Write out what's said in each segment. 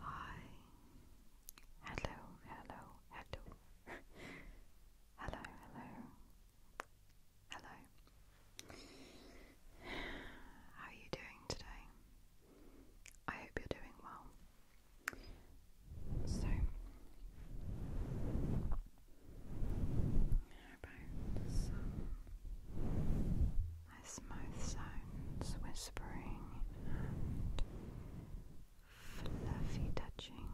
Hi. Hello, hello, hello. hello, hello. Hello. How are you doing today? I hope you're doing well. So, how about some my smooth sounds, whispering and fluffy touching.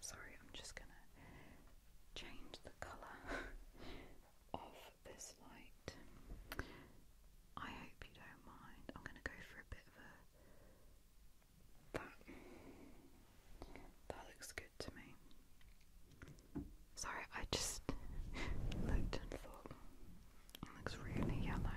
Sorry, I'm just gonna change the colour of this light. I hope you don't mind. I'm going to go for a bit of a. That. That looks good to me. Sorry, I just looked and thought it looks really yellow.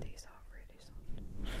These are really soft.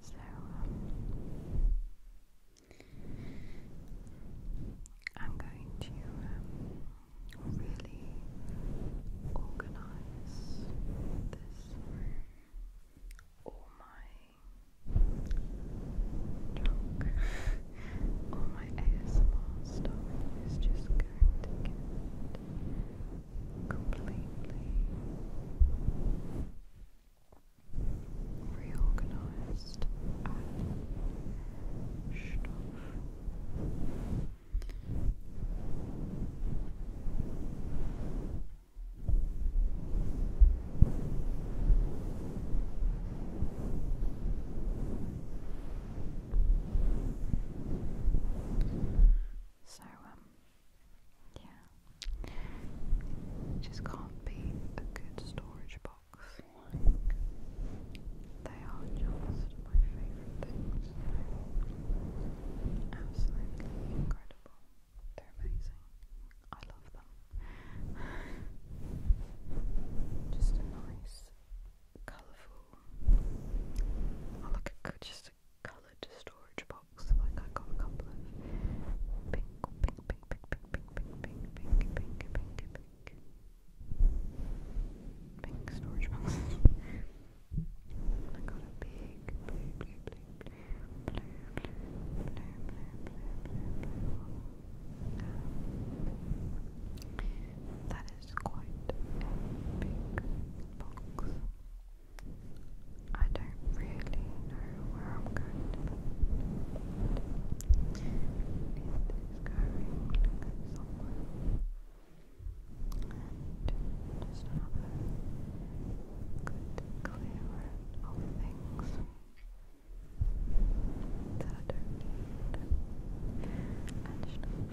So, um, I'm going to um, really organize this all my junk, all my ASMR stuff is just going to get completely reorganized and stuff. So, um, yeah. just can't be a good storage box. they are just my favourite things. absolutely incredible. They're amazing. I love them. just a nice, colourful. Oh, look, I just coloured storage box, like I got a couple pink, pink, pink, pink, pink, pink, pink, pink, pink, pink, pink, pink, pink storage boxes. I got a big blue, blue, blue, blue, blue, blue, blue, blue, blue, blue one. that is quite big box. I don't really know where I'm going to it is going somewhere and just have a good clearance of things that I don't need and stuff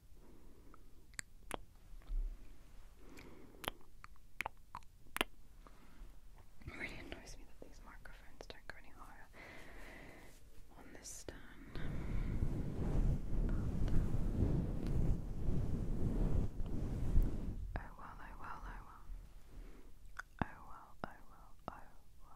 It really annoys me that these microphones don't go any higher on this stand. But, um, oh well, oh well, oh well. Oh well, oh well, oh,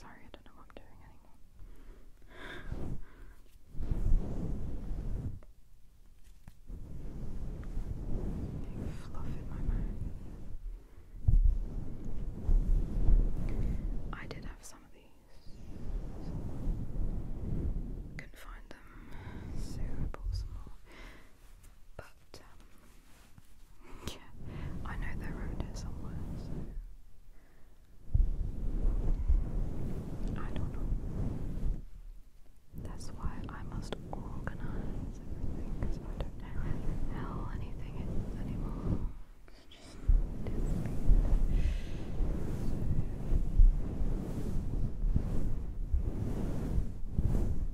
Sorry, I don't know what I'm doing anymore. fluff in my mouth. I did have some of these. Couldn't find them, so I bought some more. But um, yeah, I know that road is somewhere, I don't know. That's why I must organize everything because I don't know hell anything is anymore.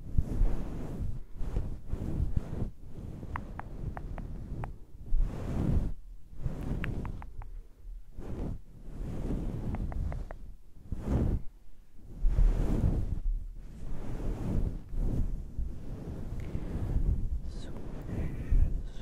Swish, swish, swish,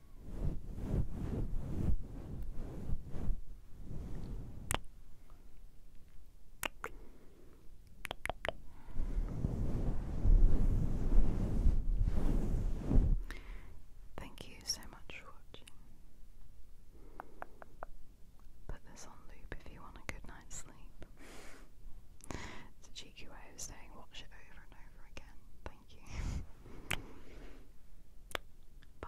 Thank you so much for watching. Put this on loop if you want a good night's sleep. it's a cheeky way of saying watch it over and over again you. Bye.